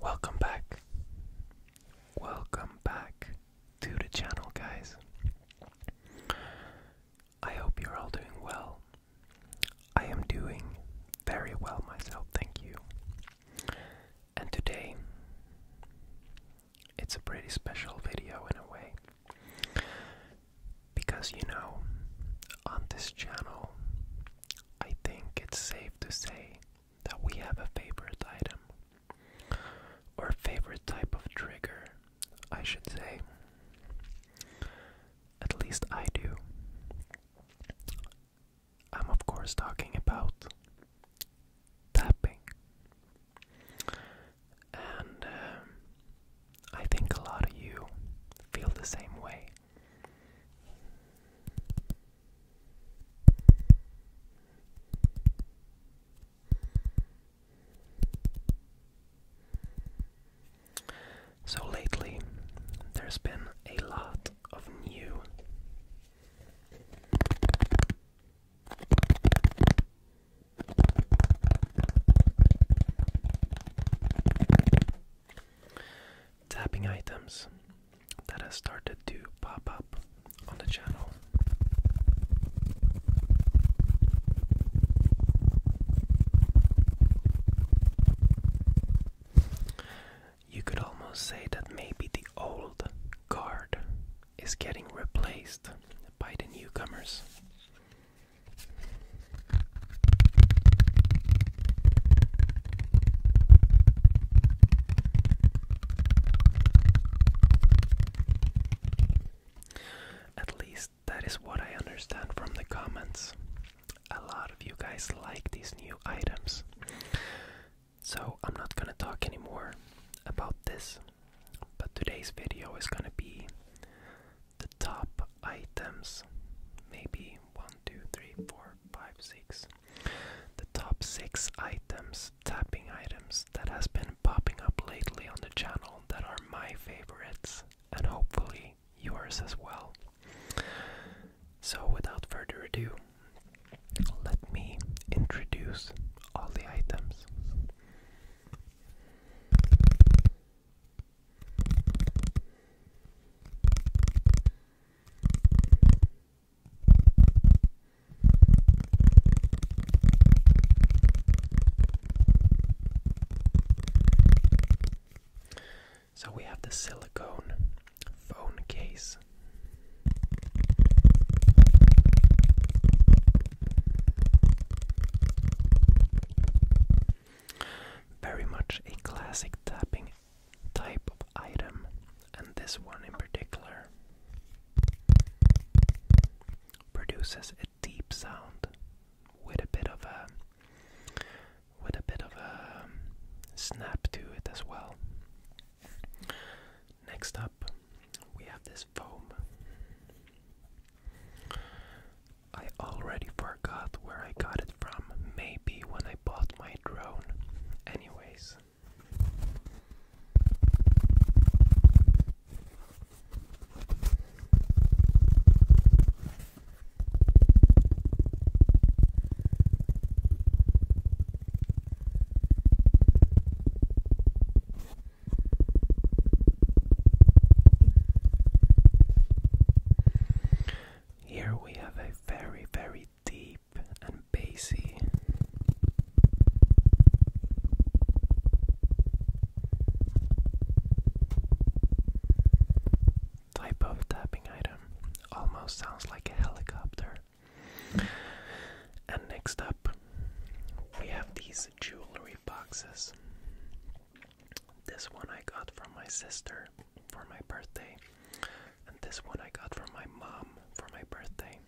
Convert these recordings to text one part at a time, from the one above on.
Welcome back. Welcome back to the channel, guys. I hope you're all doing well. I am doing very well myself, thank you. And today it's a pretty special video in a way. Because you know, on this channel, I think it's safe to say that we have a favorite item, or favorite type of trigger, I should say. At least I do. I'm, of course, talking about tapping, and um, I think a lot of you feel the same way. So lately, there's been a lot of new Tapping items that has started to pop up on the channel. You could almost say that maybe the old guard is getting replaced by the newcomers. At least that is what I understand from the comments. A lot of you guys like these new items. So I'm not gonna talk anymore about this. But today's video is gonna be the top items. Maybe one, two, three, four, five, six. The top six items, tapping items that has been popping up lately on the channel that are my favorites and hopefully yours as well. So without further ado, let me introduce all the items. So we have the silicone phone case. Very much a classic tapping type of item, and this one in particular produces a deep sound with a bit of a with a bit of a um, snap to it as well. Next up, we have this I already forgot where I got it from, maybe when I bought my drone. Anyways. Here we have a very, very deep and bassy. Type of tapping item almost sounds like a helicopter. And next up, we have these jewelry boxes. This one I got from my sister for my birthday, and this one I got from my mom for my birthday.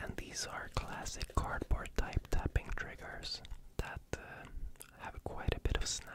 And these are classic cardboard type tapping triggers that uh, have quite a bit of snap.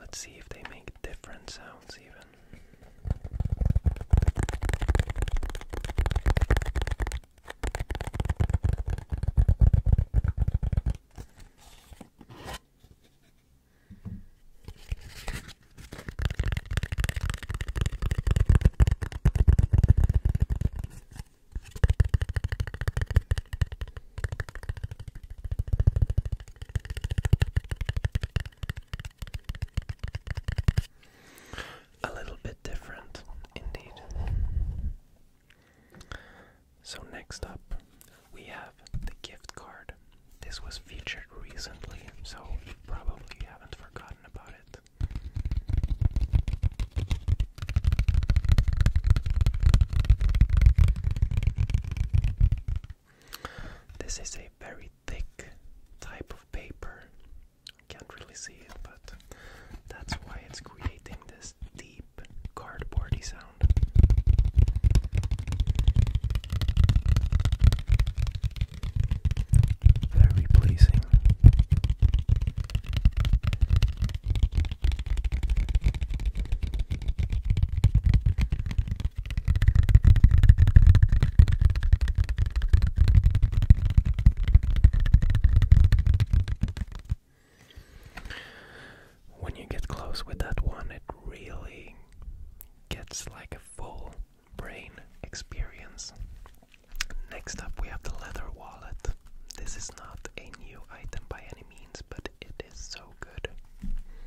Let's see if they make different sounds even. A little bit different, indeed. So, next up, we have the gift card. This was featured recently, so you probably haven't forgotten about it. This is a very thick type of paper. can't really see it, but that's why it's creating this deep cardboardy sound. Very pleasing. When you get close with that one, it really gets like a full brain experience. Next up, we have the leather wallet. This is not a new item by any means, but it is so good.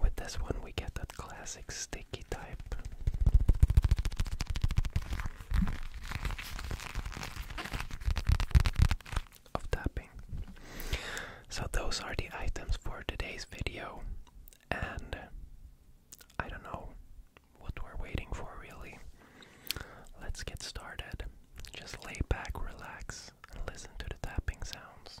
With this one, we get that classic sticky type. Of tapping. So, those are the items for today's video, and I don't know what we're waiting for, really. Let's get started. Just lay back, relax, and listen to the tapping sounds.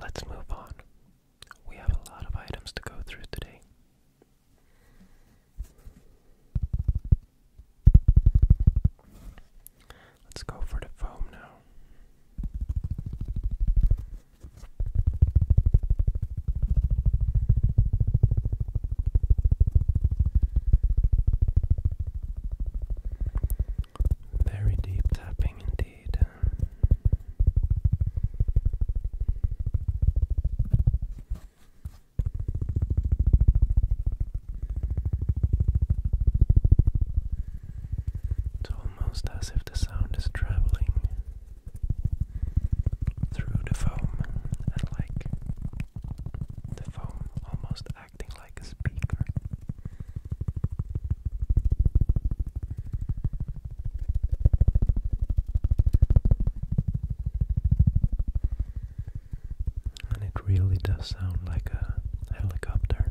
Let's move on. We have a lot of items to go through today. Let's go for the foam now. Very deep tapping indeed. It's almost as if the sound is traveling through the foam and like the foam almost acting like a speaker. And it really does sound like a helicopter.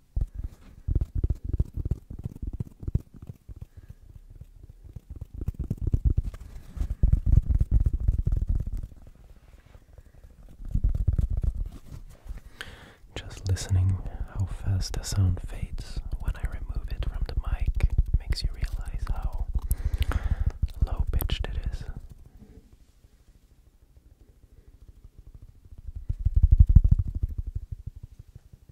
Just listening how fast the sound fades when I remove it from the mic makes you realize how low pitched it is.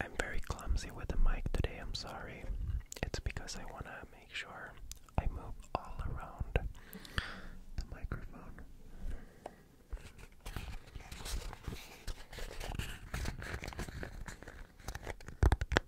I'm very clumsy with the mic today, I'm sorry. It's because I want to make sure I move all around the microphone.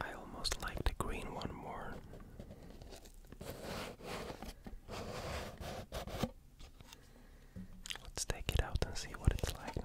I almost like the green one more. Let's take it out and see what it's like now.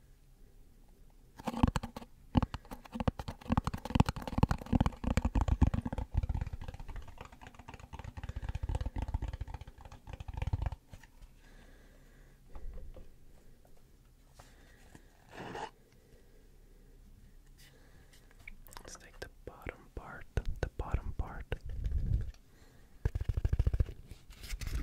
Let's take the bottom part, the bottom part.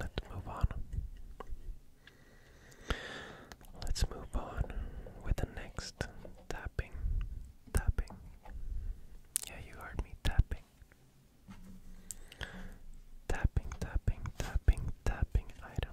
Let's move on. Let's move on with the next tapping. Tapping. Yeah, you heard me tapping. Tapping, tapping, tapping, tapping item.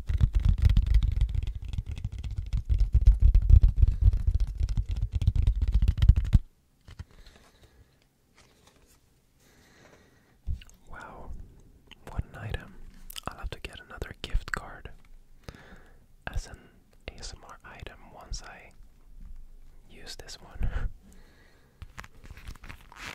Wow, what an item. I'll have to get another gift card as an ASMR item once I use this one.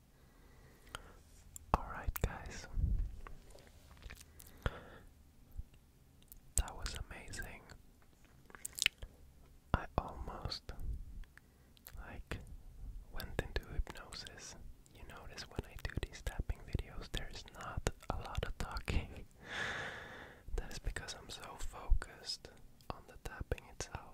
Alright, guys. That was amazing. I almost like went into hypnosis. You notice when I do these tapping videos, there's not a lot of talking. That's because I'm so focused on the tapping itself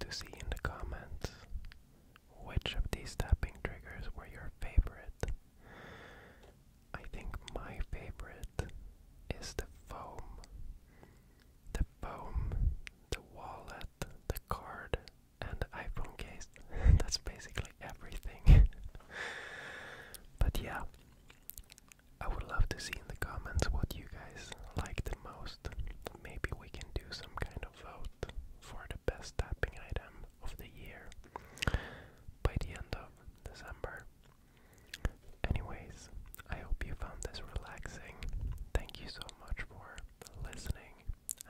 to see in the comments which of these tapping triggers were your favorite. I think my favorite is the foam. The foam, the wallet, the card, and the iPhone case. That's basically everything. but yeah, I would love to see in the comments what you guys like the most maybe we can do some kind of vote for the best tapping item of the year by the end of December. Anyways, I hope you found this relaxing. Thank you so much for listening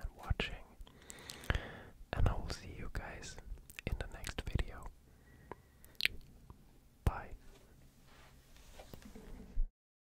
and watching. And I will see you guys in the next video. Bye.